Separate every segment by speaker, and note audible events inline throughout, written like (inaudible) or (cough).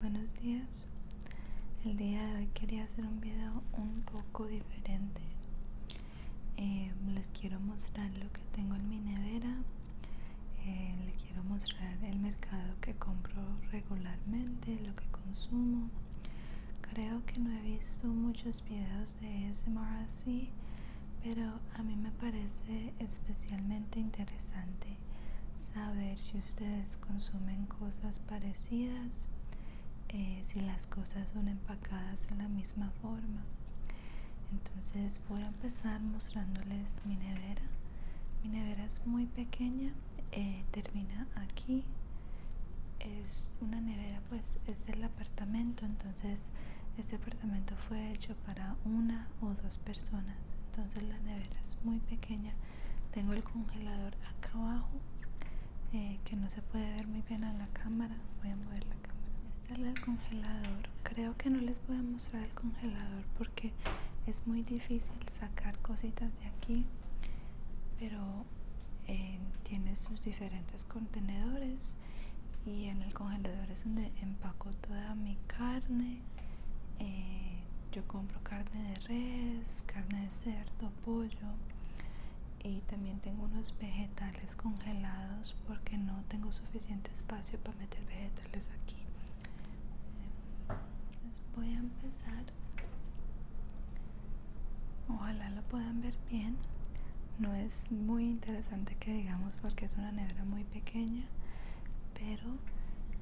Speaker 1: Buenos días, el día de hoy quería hacer un video un poco diferente eh, Les quiero mostrar lo que tengo en mi nevera eh, Les quiero mostrar el mercado que compro regularmente, lo que consumo Creo que no he visto muchos videos de ASMR así Pero a mí me parece especialmente interesante saber si ustedes consumen cosas parecidas, eh, si las cosas son empacadas en la misma forma. Entonces voy a empezar mostrándoles mi nevera. Mi nevera es muy pequeña, eh, termina aquí. Es una nevera, pues es el apartamento, entonces este apartamento fue hecho para una o dos personas. Entonces la nevera es muy pequeña tengo el congelador acá abajo eh, que no se puede ver muy bien a la cámara. Voy a mover la cámara. Este es el congelador. Creo que no les voy a mostrar el congelador porque es muy difícil sacar cositas de aquí. Pero eh, tiene sus diferentes contenedores y en el congelador es donde empaco toda mi carne eh, yo compro carne de res, carne de cerdo, pollo y también tengo unos vegetales congelados porque no tengo suficiente espacio para meter vegetales aquí. voy a empezar. Ojalá lo puedan ver bien. No es muy interesante que digamos porque es una nevera muy pequeña pero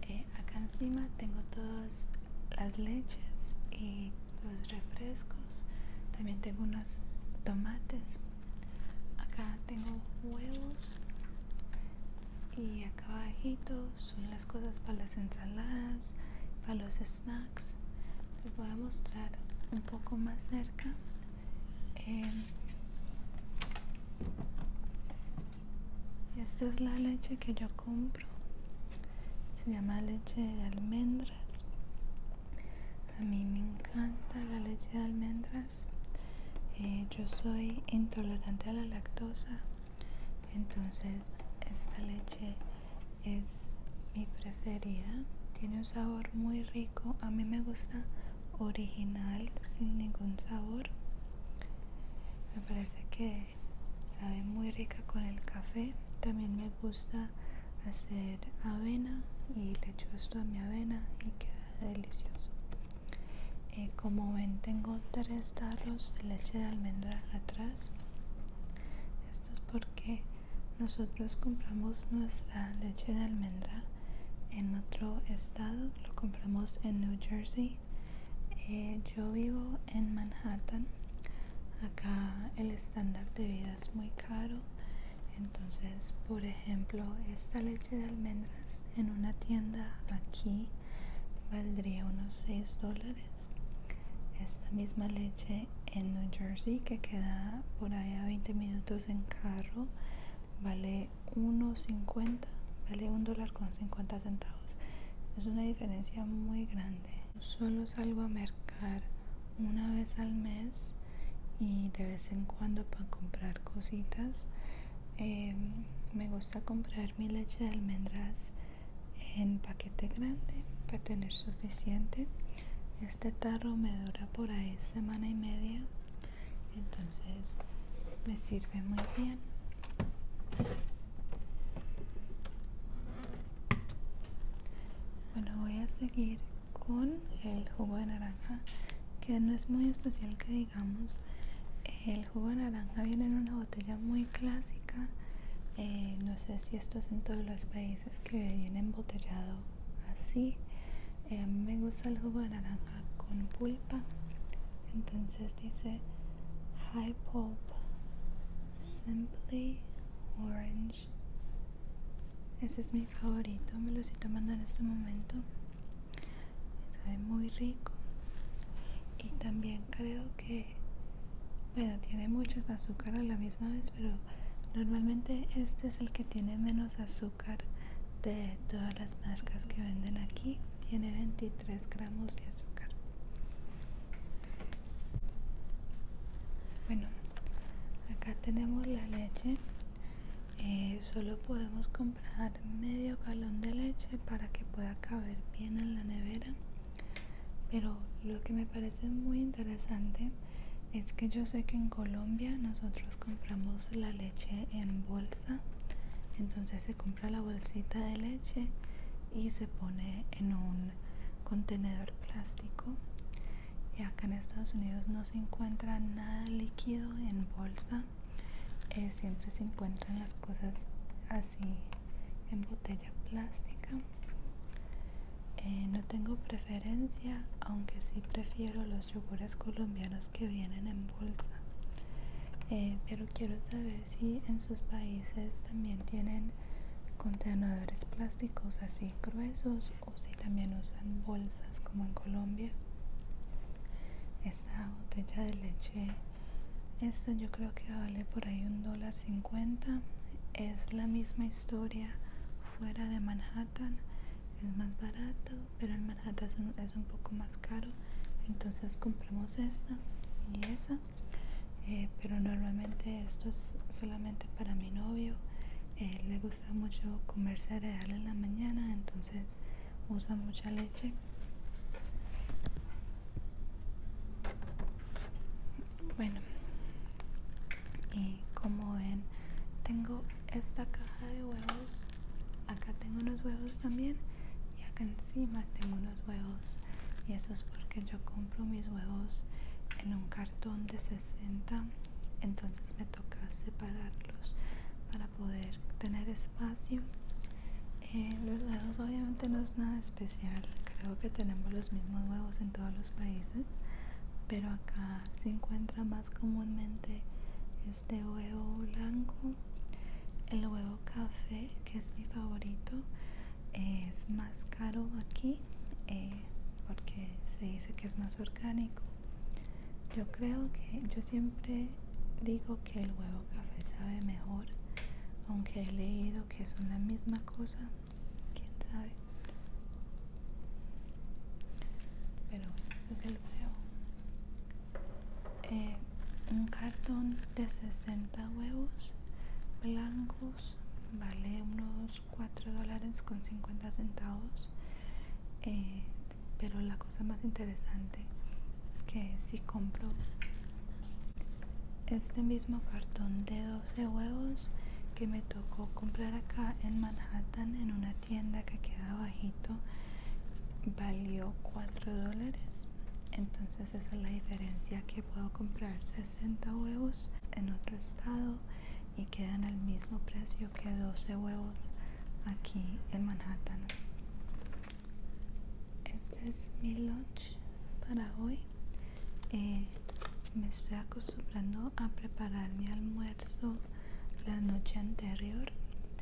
Speaker 1: eh, acá encima tengo todas las leches y los refrescos también tengo unos tomates acá tengo huevos y acá abajito son las cosas para las ensaladas para los snacks les voy a mostrar un poco más cerca eh, esta es la leche que yo compro. Se llama leche de almendras. A mí me encanta la leche de almendras. Eh, yo soy intolerante a la lactosa. Entonces esta leche es mi preferida. Tiene un sabor muy rico. A mí me gusta original sin ningún sabor me parece que sabe muy rica con el café también me gusta hacer avena y le echo esto a mi avena y queda delicioso eh, como ven tengo tres tarros de leche de almendra atrás esto es porque nosotros compramos nuestra leche de almendra en otro estado lo compramos en New Jersey eh, yo vivo en Manhattan. Acá el estándar de vida es muy caro. Entonces, por ejemplo, esta leche de almendras en una tienda aquí valdría unos 6 dólares. Esta misma leche en New Jersey, que queda por allá a 20 minutos en carro, vale 1.50 vale un dólar con 50 centavos es una diferencia muy grande solo salgo a mercar una vez al mes y de vez en cuando para comprar cositas em, me gusta comprar mi leche de almendras en paquete grande para tener suficiente este tarro me dura por ahí semana y media entonces me sirve muy bien bueno voy a seguir con el jugo de naranja que no es muy especial que digamos el jugo de naranja viene en una botella muy clásica eh, no sé si esto es en todos los países que viene embotellado así eh, me gusta el jugo de naranja con pulpa entonces dice high pulp simply orange ese es mi favorito me lo estoy tomando en este momento sabe muy rico y también creo que bueno tiene muchos azúcar a la misma vez pero normalmente este es el que tiene menos azúcar de todas las marcas que venden aquí tiene 23 gramos de azúcar bueno acá tenemos la leche eh, solo podemos comprar medio galón de leche para que pueda caber bien en la nevera pero lo que me parece muy interesante es que yo sé que en Colombia nosotros compramos la leche en bolsa entonces se compra la bolsita de leche y se pone en un contenedor plástico y acá en Estados Unidos no se encuentra nada líquido en bolsa eh, siempre se encuentran las cosas así en botella plástica eh, no tengo preferencia aunque sí prefiero los yogures colombianos que vienen en bolsa eh, pero quiero saber si en sus países también tienen contenedores plásticos así gruesos o si también usan bolsas como en Colombia esta botella de leche esta yo creo que vale por ahí un dólar cincuenta es la misma historia fuera de Manhattan es más barato pero en Manhattan es un, poco más caro entonces compramos esta y esa eh, pero normalmente esto es solamente para mi novio eh, le gusta mucho comer cereal en la mañana entonces usa mucha leche bueno y como ven tengo esta caja de huevos acá tengo unos huevos también y acá encima tengo unos huevos y eso es porque yo compro mis huevos en un cartón de 60 entonces me toca separarlos para poder tener espacio eh, los huevos obviamente no es nada especial creo que tenemos los mismos huevos en todos los países pero acá se encuentra más comúnmente de este huevo blanco el huevo café que es mi favorito es más caro aquí eh, porque se dice que es más orgánico yo creo que yo siempre digo que el huevo café sabe mejor aunque he leído que son la misma cosa quién sabe pero bueno, ese es el huevo eh, un cartón de 60 huevos blancos vale unos 4 dólares con 50 centavos eh, pero la cosa más interesante que si compro este mismo cartón de 12 huevos que me tocó comprar acá en Manhattan en una tienda que queda bajito valió 4 dólares entonces esa es la diferencia que puedo comprar 60 huevos en otro estado y quedan al mismo precio que 12 huevos aquí en Manhattan este es mi lunch para hoy eh, me estoy acostumbrando a preparar mi almuerzo la noche anterior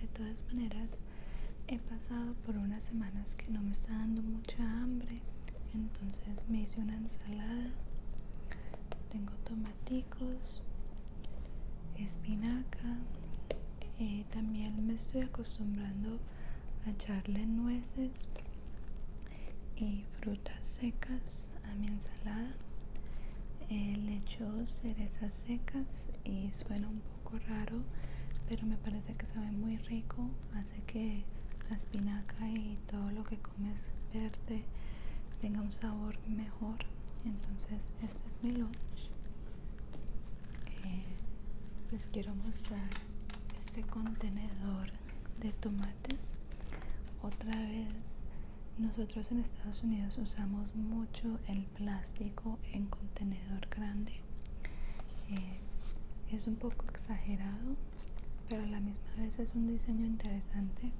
Speaker 1: de todas maneras he pasado por unas semanas que no me está dando mucha hambre entonces me hice una ensalada tengo tomaticos espinaca eh, también me estoy acostumbrando a echarle nueces y frutas secas a mi ensalada he eh, le cerezas secas y suena un poco raro pero me parece que sabe muy rico hace que la espinaca y todo lo que comes verde tenga un sabor mejor entonces este es mi lunch eh, les quiero mostrar este contenedor de tomates otra vez nosotros en Estados Unidos usamos mucho el plástico en contenedor grande. Eh, es un poco exagerado, pero a la misma vez es un diseño interesante.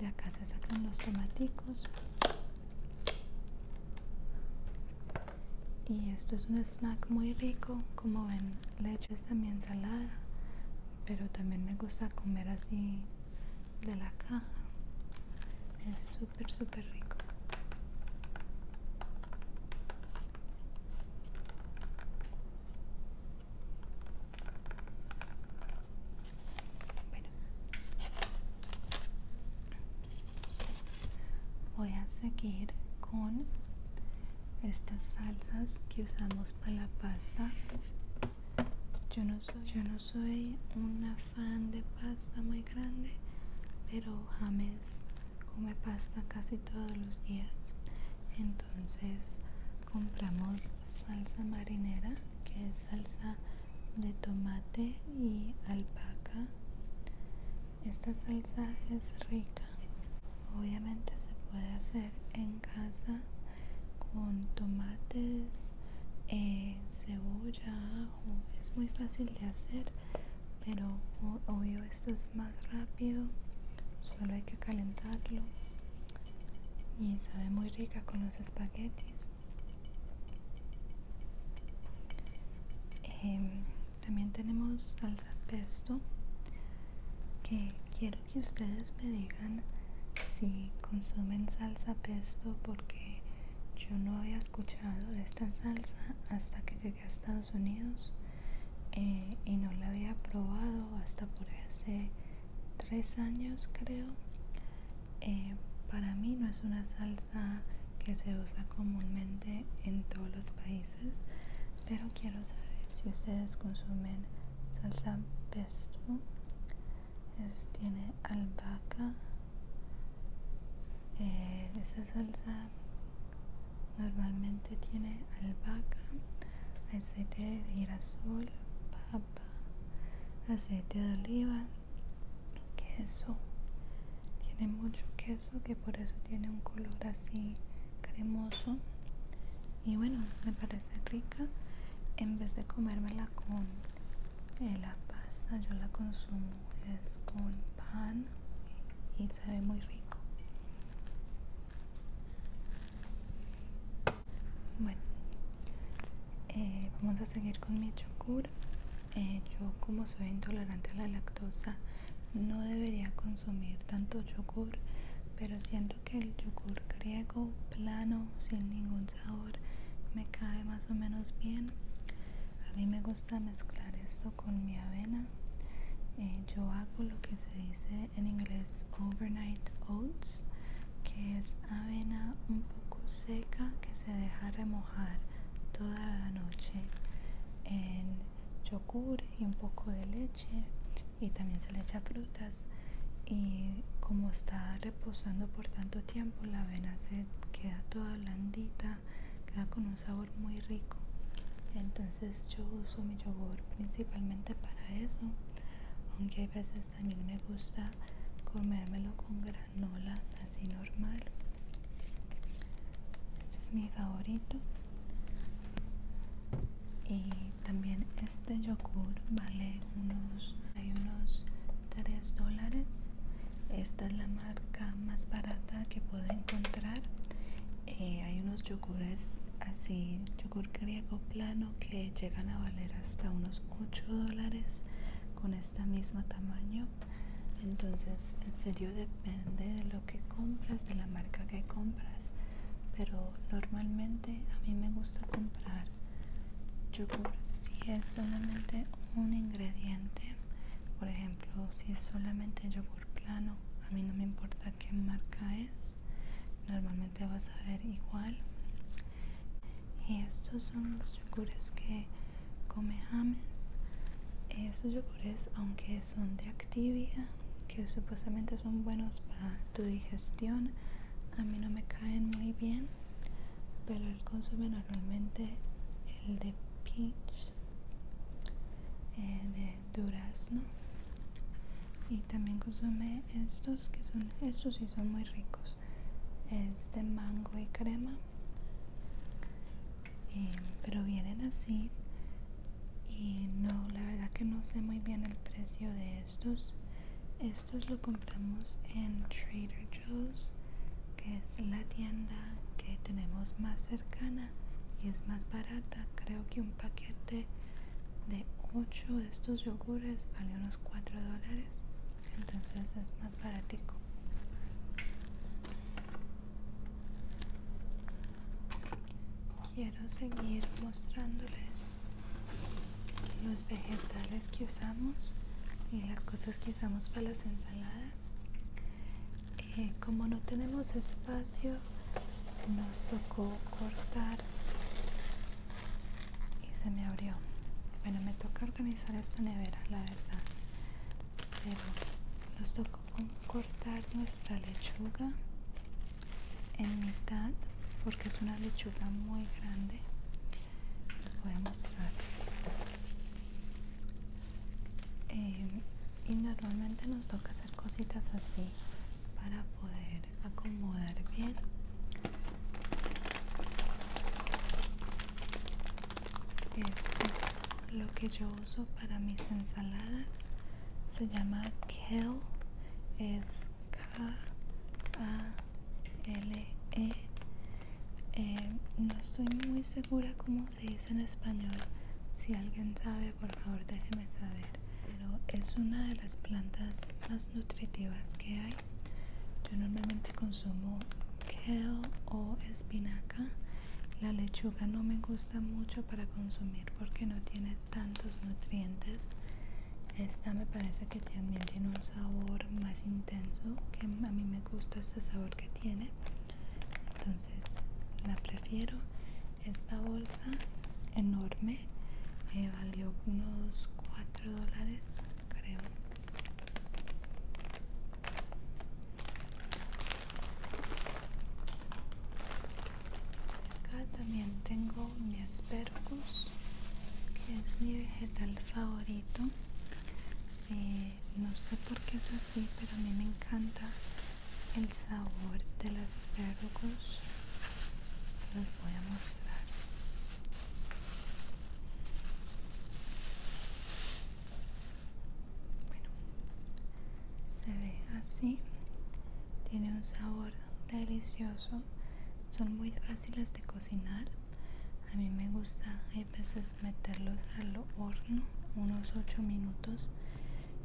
Speaker 1: De acá se sacan los tomaticos. Y esto es un snack muy rico, como ven, leche es también salada, pero también me gusta comer así de la caja es súper súper rico voy a seguir con estas salsas que usamos para la pasta yo no soy soy una fan de pasta muy grande, pero James come pasta casi todos los días. Entonces compramos salsa marinera, que es salsa de tomate y alpaca. Esta salsa es rica. Obviamente se puede hacer en casa con tomates, eh, cebolla, ajo. Es muy fácil de hacer, pero obvio esto es más rápido. Solo hay que calentarlo y sabe muy rica con los espaguetis. Em, también tenemos salsa pesto que quiero que ustedes me digan si consumen salsa pesto porque yo no había escuchado de esta salsa hasta que llegué a Estados Unidos eh, y no la había probado hasta por hace tres años creo. Eh, para mí no es una salsa que se usa comúnmente en todos los países, pero quiero saber si ustedes consumen salsa pesto tiene albahaca. Eh, esa salsa normalmente tiene albahaca, aceite de girasol, papa, aceite de oliva, queso. Tiene mucho queso que por eso tiene un color así cremoso y bueno me parece rica en vez de comérmela con la pasta yo la consumo es con pan y ve muy rico bueno eh, vamos a seguir con mi yogur eh, yo como soy intolerante a la lactosa no debería consumir tanto yogur pero siento que el yogur griego plano sin ningún sabor me cae más o menos bien a mí me gusta mezclar esto con mi avena eh, yo hago lo que se dice en inglés overnight oats que es avena un poco seca que se deja remojar toda la noche en yogur y un poco de leche y también se le echa frutas y como está reposando por tanto tiempo la avena se queda toda blandita queda con un sabor muy rico entonces yo uso mi yogur principalmente para eso aunque hay veces también me gusta comérmelo con granola así normal este es mi favorito y también este yogur vale unos, hay unos 3 dólares. Esta es la marca más barata que puedo encontrar. Eh, hay unos yogures así, yogur griego plano que llegan a valer hasta unos 8 dólares con este mismo tamaño. Entonces, en serio depende de lo que compras, de la marca que compras pero normalmente a mí me gusta comprar yogur si es solamente un ingrediente por ejemplo si es solamente yogur plano a mí no me importa qué marca es normalmente vas a ver igual y estos son los yogures que come James esos yogures aunque son de Activia que supuestamente son buenos para tu digestión a mí no me caen muy bien pero él consume normalmente el de peach eh, de durazno y también consume estos que son estos sí son muy ricos es de mango y crema pero vienen así y no la verdad que no sé muy bien el precio de estos estos lo compramos en Trader Joe's que es la tienda que tenemos más cercana y es más barata creo que un paquete de 8 de estos yogures vale unos 4 dólares entonces es más baratico quiero seguir mostrándoles los vegetales que usamos y las cosas que usamos para las ensaladas eh, como no tenemos espacio nos tocó cortar y se me abrió bueno me toca organizar esta nevera la verdad pero nos tocó cortar nuestra lechuga en mitad porque es una lechuga muy grande les voy a mostrar eh, y normalmente nos toca hacer cositas así para poder acomodar bien eso es lo que yo uso para mis ensaladas se llama kale es K-A-L-E. Eh, no estoy muy segura cómo se dice en español. Si alguien sabe, por favor déjeme saber. Pero es una de las plantas más nutritivas que hay. Yo normalmente consumo kale o espinaca. La lechuga no me gusta mucho para consumir porque no tiene tantos nutrientes esta me parece que también tiene un sabor más intenso que a mí me gusta este sabor que tiene entonces la prefiero esta bolsa enorme me eh, valió unos 4 dólares creo Acá también tengo mi aspergus, que es mi vegetal favorito. Eh, no sé por qué es así, pero a mí me encanta el sabor del aspergus. Se los voy a mostrar. Bueno, se ve así. Tiene un sabor delicioso son muy fáciles de cocinar a mí me gusta a veces meterlos al horno unos 8 minutos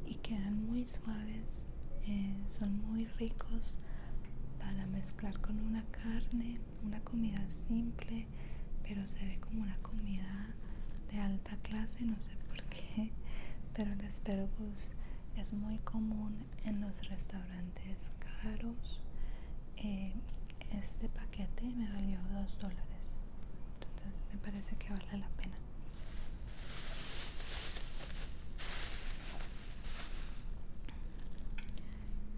Speaker 1: y quedan muy suaves eh, son muy ricos para mezclar con una carne una comida simple pero se ve como una comida de alta clase no sé por qué pero el aspergus es muy común en los restaurantes caros. Eh, este paquete me valió dos dólares, entonces me parece que vale la pena.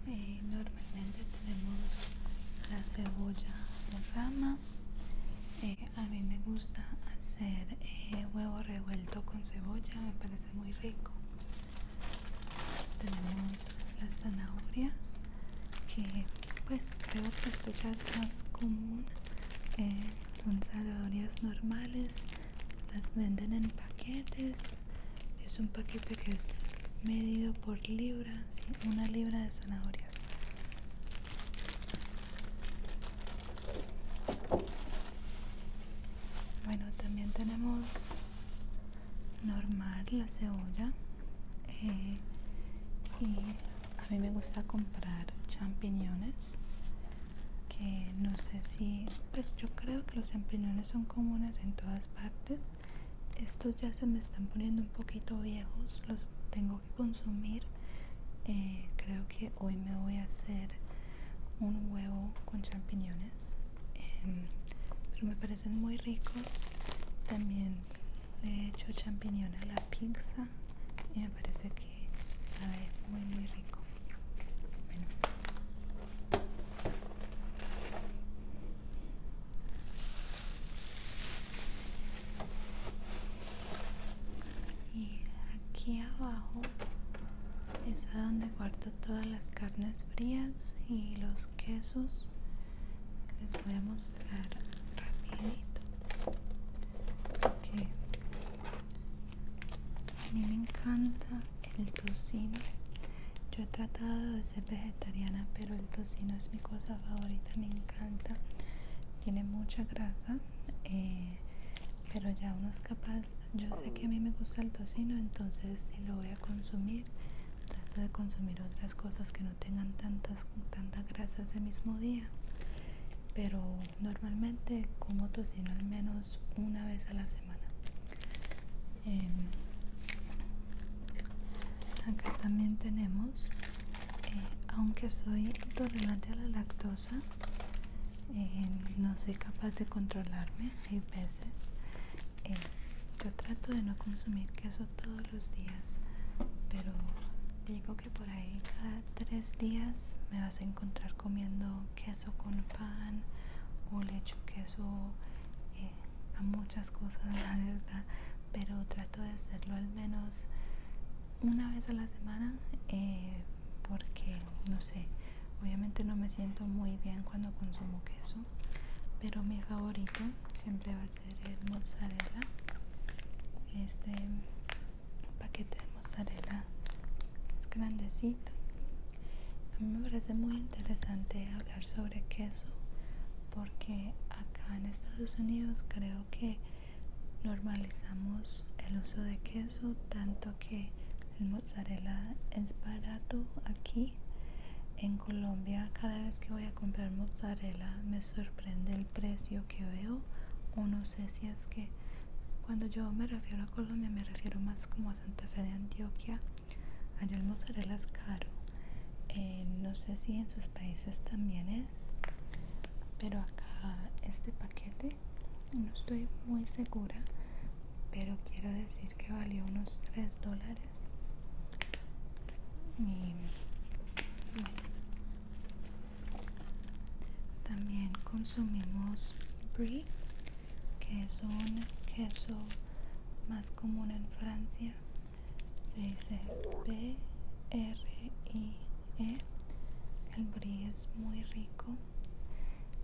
Speaker 1: Eh, normalmente tenemos la cebolla de rama, eh, a mí me gusta hacer eh, huevo revuelto con cebolla, me parece muy rico. Tenemos las zanahorias, que pues creo que esto ya es más común. Eh, son zanahorias normales, las venden en paquetes. Es un paquete que es medido por libra, una libra de zanahorias. Bueno, también tenemos normal la cebolla. Eh, y a mí me gusta comprar champiñones. Que no sé si. Pues yo creo que los champiñones son comunes en todas partes. Estos ya se me están poniendo un poquito viejos. Los tengo que consumir eh, creo que hoy me voy a hacer un huevo con champiñones em, pero me parecen muy ricos también le he hecho champiñones a la pizza y me parece que sabe muy muy rico y aquí abajo es a donde guardo todas las carnes frías y los quesos les voy a mostrar rapidito a mí me encanta el tocino yo he tratado de ser vegetariana pero el tocino es mi cosa favorita me encanta tiene mucha grasa eh, pero ya uno es capaz yo sé que a mí me gusta el tocino entonces si lo voy a consumir trato de consumir otras cosas que no tengan tantas tantas grasas ese mismo día pero normalmente como tocino al menos una vez a la semana em, acá también tenemos eh, aunque soy intolerante a la lactosa eh, no soy capaz de controlarme hay veces eh, yo trato de no consumir queso todos los días pero digo que por ahí cada tres días me vas a encontrar comiendo queso con pan o lecho queso eh, a muchas cosas (laughs) la verdad pero trato de hacerlo al menos una vez a la semana eh, porque no sé obviamente no me siento muy bien cuando consumo queso pero mi favorito siempre va a ser el mozzarella este paquete de mozzarella es grandecito a mí me parece muy interesante hablar sobre queso porque acá en Estados Unidos creo que normalizamos el uso de queso, tanto que el mozzarella es barato aquí. En Colombia, cada vez que voy a comprar mozzarella, me sorprende el precio que veo. O no sé si es que cuando yo me refiero a Colombia, me refiero más como a Santa Fe de Antioquia. Allá el mozzarella es caro. Eh, no sé si en sus países también es pero acá este paquete no estoy muy segura pero quiero decir que valió unos 3 dólares y también consumimos brie que es un queso más común en Francia se dice B R I ¿eh? el brie es muy rico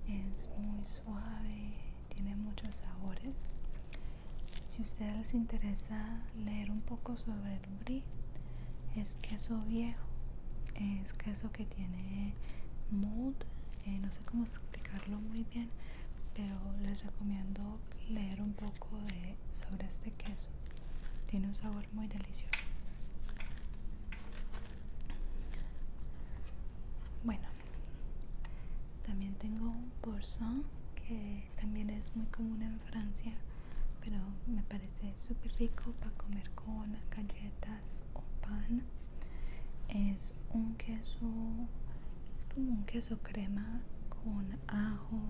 Speaker 1: es muy suave tiene muchos sabores si a ustedes les interesa leer un poco sobre el brie es queso viejo es queso que tiene mood. Eh, no sé cómo explicarlo muy bien pero les recomiendo leer un poco sobre este queso tiene un sabor muy delicioso. Bueno, también tengo un boursin que también es muy común en Francia, pero me parece súper rico para comer con galletas o pan. Es un queso, es como un queso crema con ajo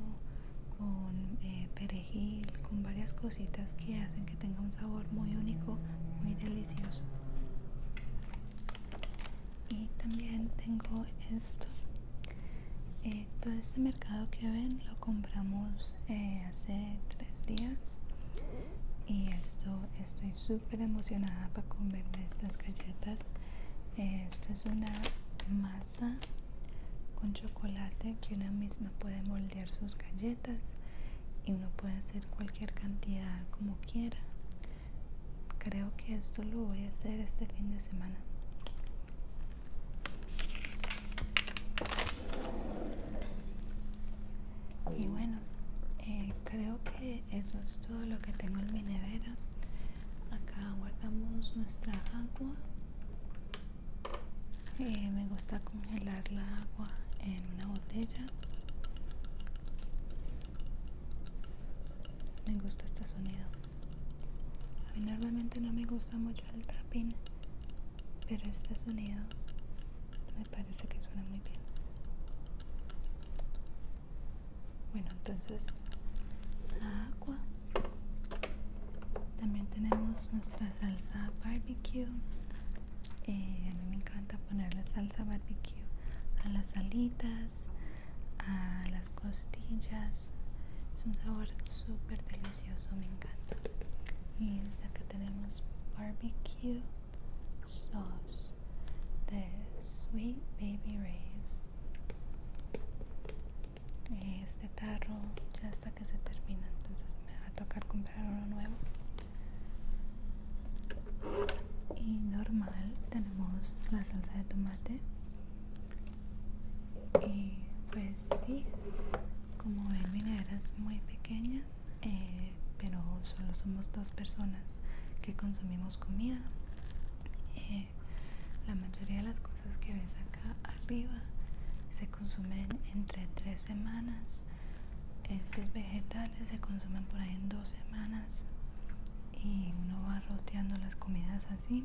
Speaker 1: con eh, perejil, con varias cositas que hacen que tenga un sabor muy único, muy delicioso. Y también tengo esto. Eh, todo este mercado que ven lo compramos eh, hace tres días y esto estoy súper emocionada para comerme estas galletas. esto es una más con chocolate que una misma puede moldear sus galletas y uno puede hacer cualquier cantidad como quiera creo que esto lo voy a hacer este fin de semana y bueno eh, creo que eso es todo lo que tengo en mi nevera acá guardamos nuestra agua eh, me gusta congelar la agua en una botella me gusta este sonido a mí normalmente no me gusta mucho el tapping pero este sonido me parece que suena muy bien bueno entonces la agua también tenemos nuestra salsa barbecue. Eh, a mí me encanta ponerle salsa barbecue a las salitas, a las costillas. Es un sabor super delicioso, me encanta. Y acá tenemos barbecue sauce de Sweet Baby Ray's este tarro ya hasta que se termina entonces me va a tocar comprar uno nuevo y normal tenemos la salsa de tomate y pues sí como ven mi es muy pequeña eh, pero solo somos dos personas que consumimos comida eh, la mayoría de las cosas que ves acá arriba se consumen entre tres semanas estos vegetales se consumen por ahí en dos semanas y uno va roteando las comidas así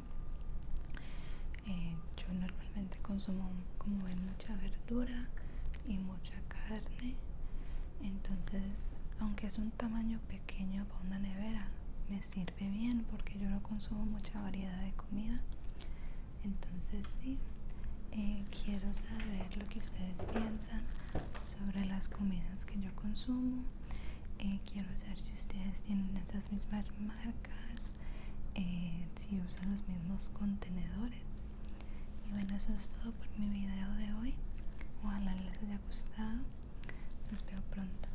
Speaker 1: eh, yo normalmente consumo como ven mucha verdura y mucha carne entonces aunque es un tamaño pequeño para una nevera me sirve bien porque yo no consumo mucha variedad de comida entonces sí eh, quiero saber lo que ustedes piensan sobre las comidas que yo consumo eh, quiero saber si ustedes tienen esas mismas marcas eh, si usan los mismos contenedores y bueno eso es todo por mi video de hoy ojalá les haya gustado nos veo pronto